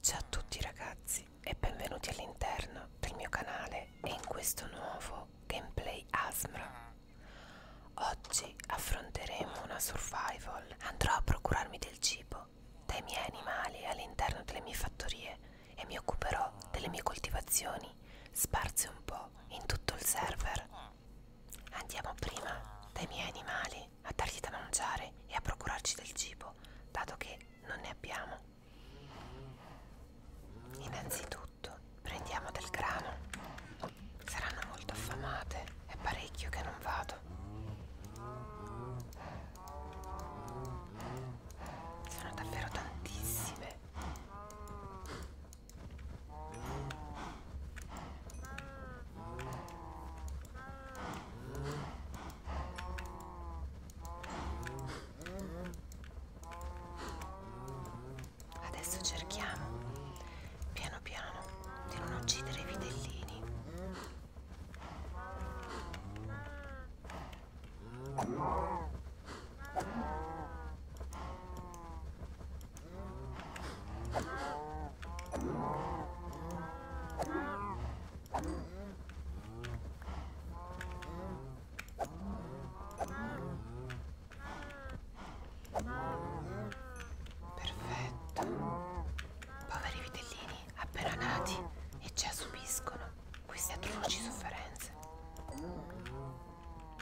Ciao a tutti ragazzi e benvenuti all'interno del mio canale e in questo nuovo gameplay ASMR. Oggi affronteremo una survival. Andrò a procurarmi del cibo dai miei animali all'interno delle mie fattorie e mi occuperò delle mie coltivazioni mani sparse un po' in tutto il server. Andiamo prima dai miei animali a dargli da mangiare e a procurarci del cibo, dato che non ne abbiamo. Innanzitutto prendiamo del grano. Saranno molto affamate, è parecchio che non vado. Sono davvero tantissime. Adesso cerchiamo piano piano di non uccidere i vitellini. Perfetto. Poveri vitellini appena nati e già subiscono queste atroci sofferenze.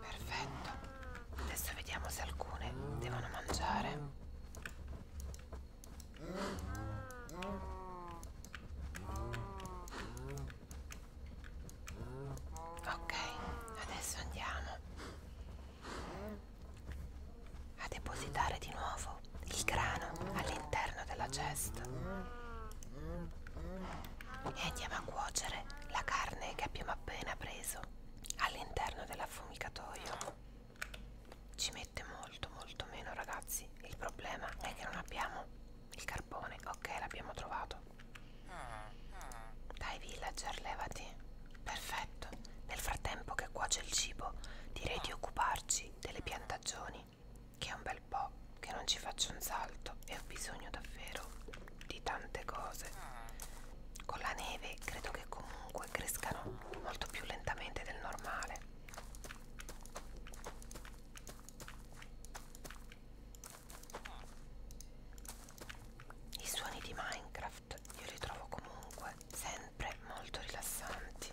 Perfetto. Adesso vediamo se alcune devono mangiare. Ok, adesso andiamo a depositare di nuovo il grano all'interno della cesta e andiamo a cuocere la carne che abbiamo appena preso all'interno dell'affumicatoio. Ci mette molto molto meno ragazzi, il problema è che non abbiamo il carbone, ok l'abbiamo trovato. Dai villager levati, perfetto, nel frattempo che cuoce il cibo direi di occuparci delle piantagioni che è un bel po' che non ci faccio un salto e ho bisogno davvero di tante cose. Con la neve credo che comunque crescano molto più lentamente del normale. I suoni di Minecraft io li trovo comunque sempre molto rilassanti.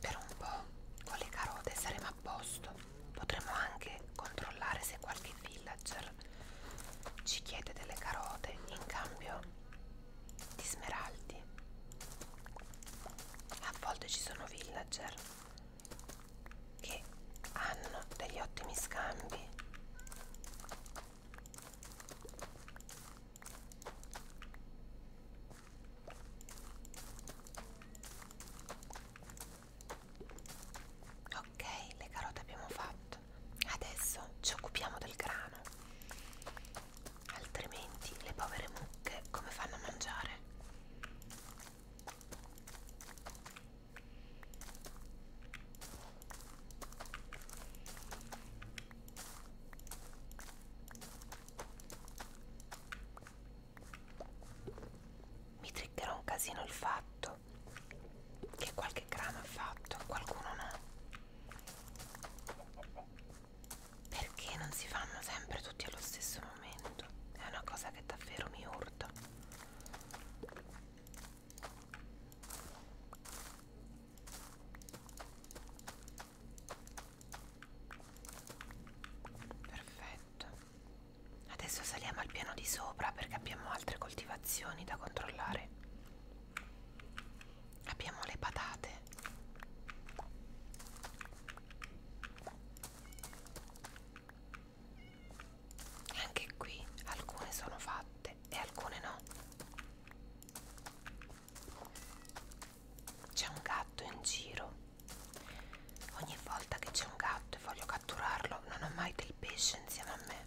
Per un po' con le carote saremo a posto. Potremo anche controllare se qualche villager ci chiede delle carote in cambio di smeraldi a volte ci sono villager che hanno degli ottimi scambi ok le carote abbiamo fatto adesso ci occupiamo del grano altrimenti le povere mucche come fanno a mangiare? Mi triggerò un casino il fatto che qualche crama ha fatto, qualcuno no perché non si fanno sempre tutti allo stesso momento è una cosa che davvero mi urta perfetto adesso saliamo al piano di sopra perché abbiamo altre coltivazioni da controllare abbiamo le patate anche qui alcune sono fatte e alcune no c'è un gatto in giro ogni volta che c'è un gatto e voglio catturarlo non ho mai del pesce insieme a me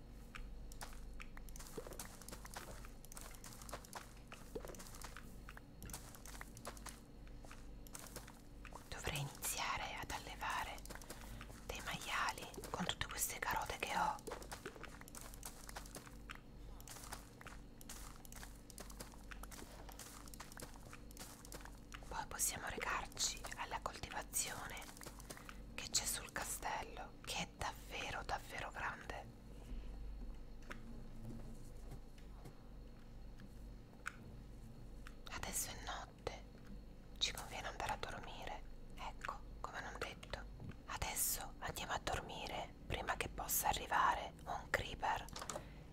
Dovrei iniziare ad allevare dei maiali con tutte queste carote che ho. Poi possiamo recarci alla coltivazione che c'è su sul castello che è davvero davvero grande adesso è notte ci conviene andare a dormire ecco come non detto adesso andiamo a dormire prima che possa arrivare un creeper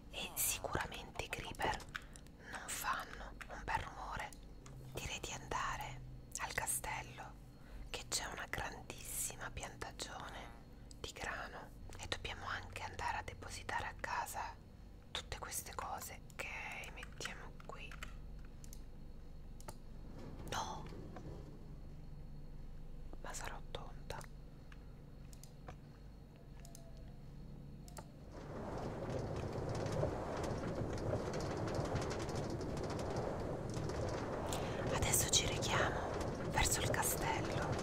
e sicuramente i creeper non fanno un bel rumore direi di andare al castello che c'è una grandissima piantagione di grano e dobbiamo anche andare a depositare a casa tutte queste cose che mettiamo qui no ma sarò tonta Adesso ci rechiamo verso il castello.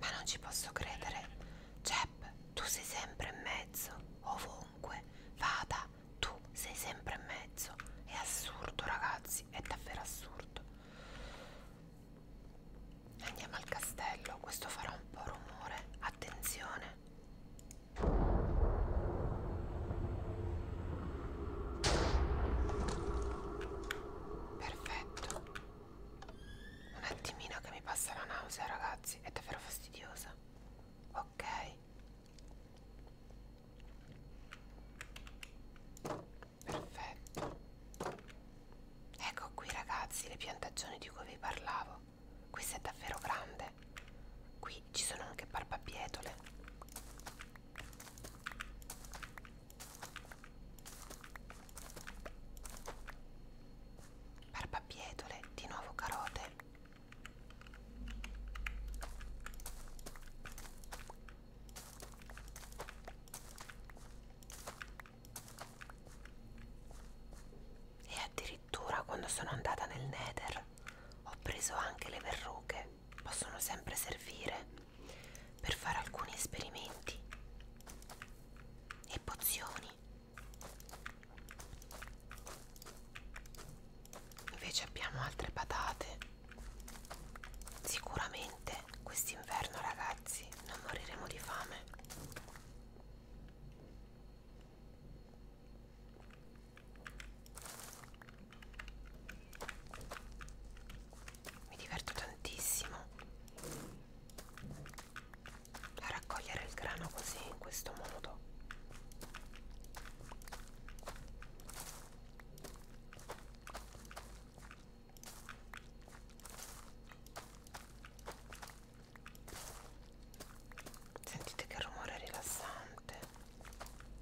Ma non ci posso credere. Jeb, tu sei sempre in mezzo, ovunque vada, tu sei sempre in mezzo. È assurdo, ragazzi, è davvero assurdo. Andiamo al castello, questo farà un po' rumore, attenzione. Perfetto. Un attimino che mi passa la nausea, ragazzi, è davvero fastidiosa. Ok. Perfetto. Ecco qui ragazzi le piantagioni di cui vi parlavo. Questa è davvero grande. Qui ci sono anche barbabietole. Barbabietole, di nuovo carote. E addirittura quando sono andata nel Nether ho preso anche le verruche, possono sempre servire per fare alcuni esperimenti e pozioni. Invece abbiamo altre patate. Sicuramente quest'inverno ragazzi non moriremo di fame. Mi diverto tantissimo a raccogliere il grano così in questo modo. Sentite che rumore rilassante.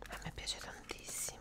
A me piace tantissimo.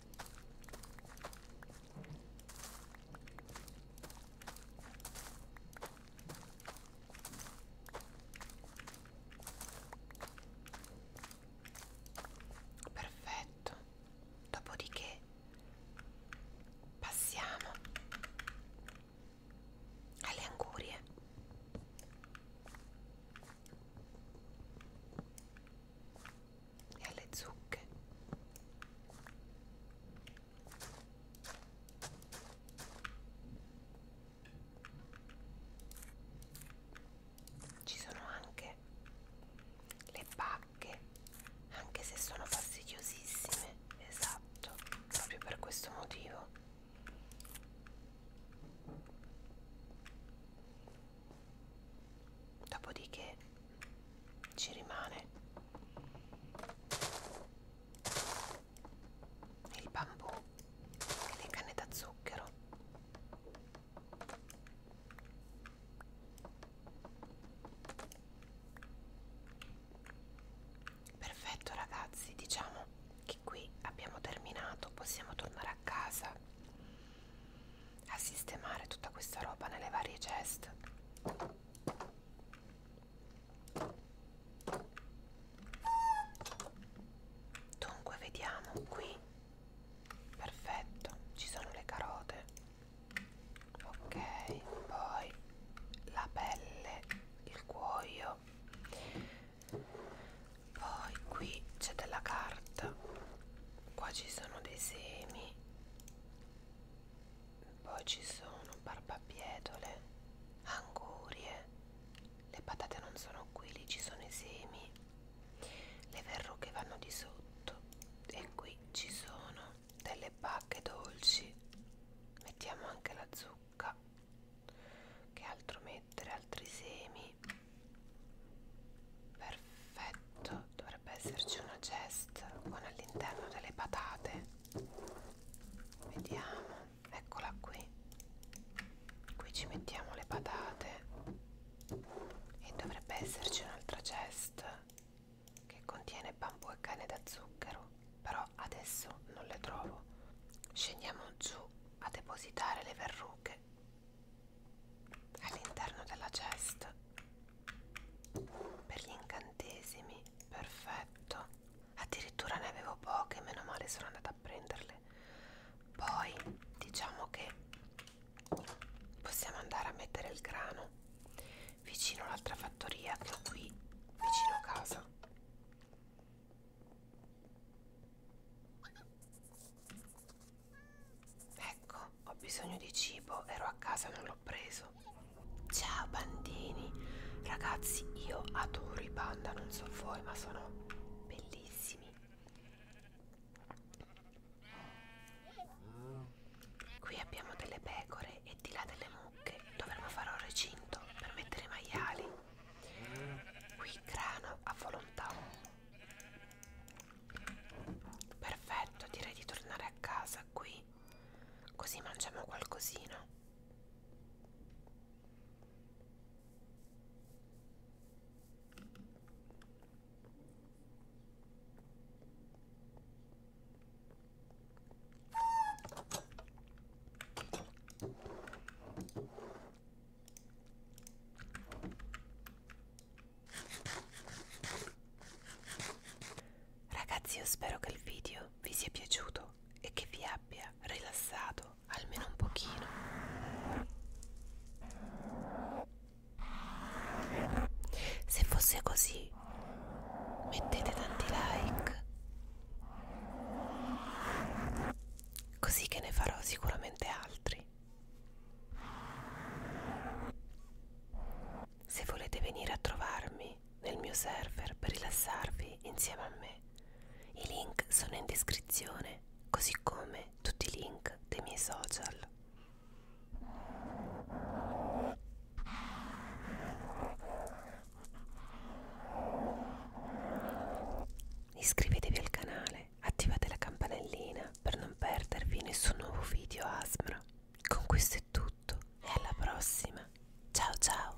Perfetto. Dopodiché passiamo alle angurie e alle zucche ci sono anche le pacche anche se sono fastidiosissime esatto proprio per questo motivo dopodiché ci rimane il bambù e le canne da zucchero perfetto ragazzi diciamo che qui abbiamo terminato possiamo tornare a casa a sistemare tutta questa roba nelle varie chest dunque vediamo qui perfetto ci sono le carote ok poi la pelle il cuoio poi qui c'è della carta qua ci sono dei semi poi ci sono barbabietole angurie le patate non sono qui lì ci sono i semi le verruche vanno di sotto e qui ci sono delle bacche dolci mettiamo anche la zucca che altro mettere altri semi perfetto dovrebbe esserci una chest con all'interno delle patate vediamo eccola qui qui ci mettiamo le patate e dovrebbe esserci un'altra chest che contiene bambù e cane da zucchero però adesso non le trovo scendiamo giù a depositare le verruche all'interno della cesta per gli incantesimi perfetto addirittura ne avevo poche meno male sono andata a prenderle poi diciamo che possiamo andare a mettere il grano vicino all'altra fattoria che ho qui vicino a casa Ecco, ho bisogno di cibo, ero a casa e non l'ho preso. Ciao bandini, ragazzi, io adoro i panda, non so voi, ma sono bellissimi. Qui abbiamo delle pecore e di là delle mucche. Dovremmo fare un recinto per mettere i maiali. Qui grano a volontà. Perfetto, direi di tornare a casa qui, così mangiamo qualcosina. Ragazzi io spero che il video vi sia piaciuto e che vi abbia rilassato almeno un pochino. Se fosse così mettete tanti like così che ne farò sicuramente altri. Se volete venire a trovarmi nel mio server per rilassarvi insieme a me, i link sono in descrizione, così come tutti i link dei miei social. Iscrivetevi al canale Attivate la campanellina per non perdervi nessun nuovo video ASMR. Con questo è tutto e alla prossima. Ciao ciao!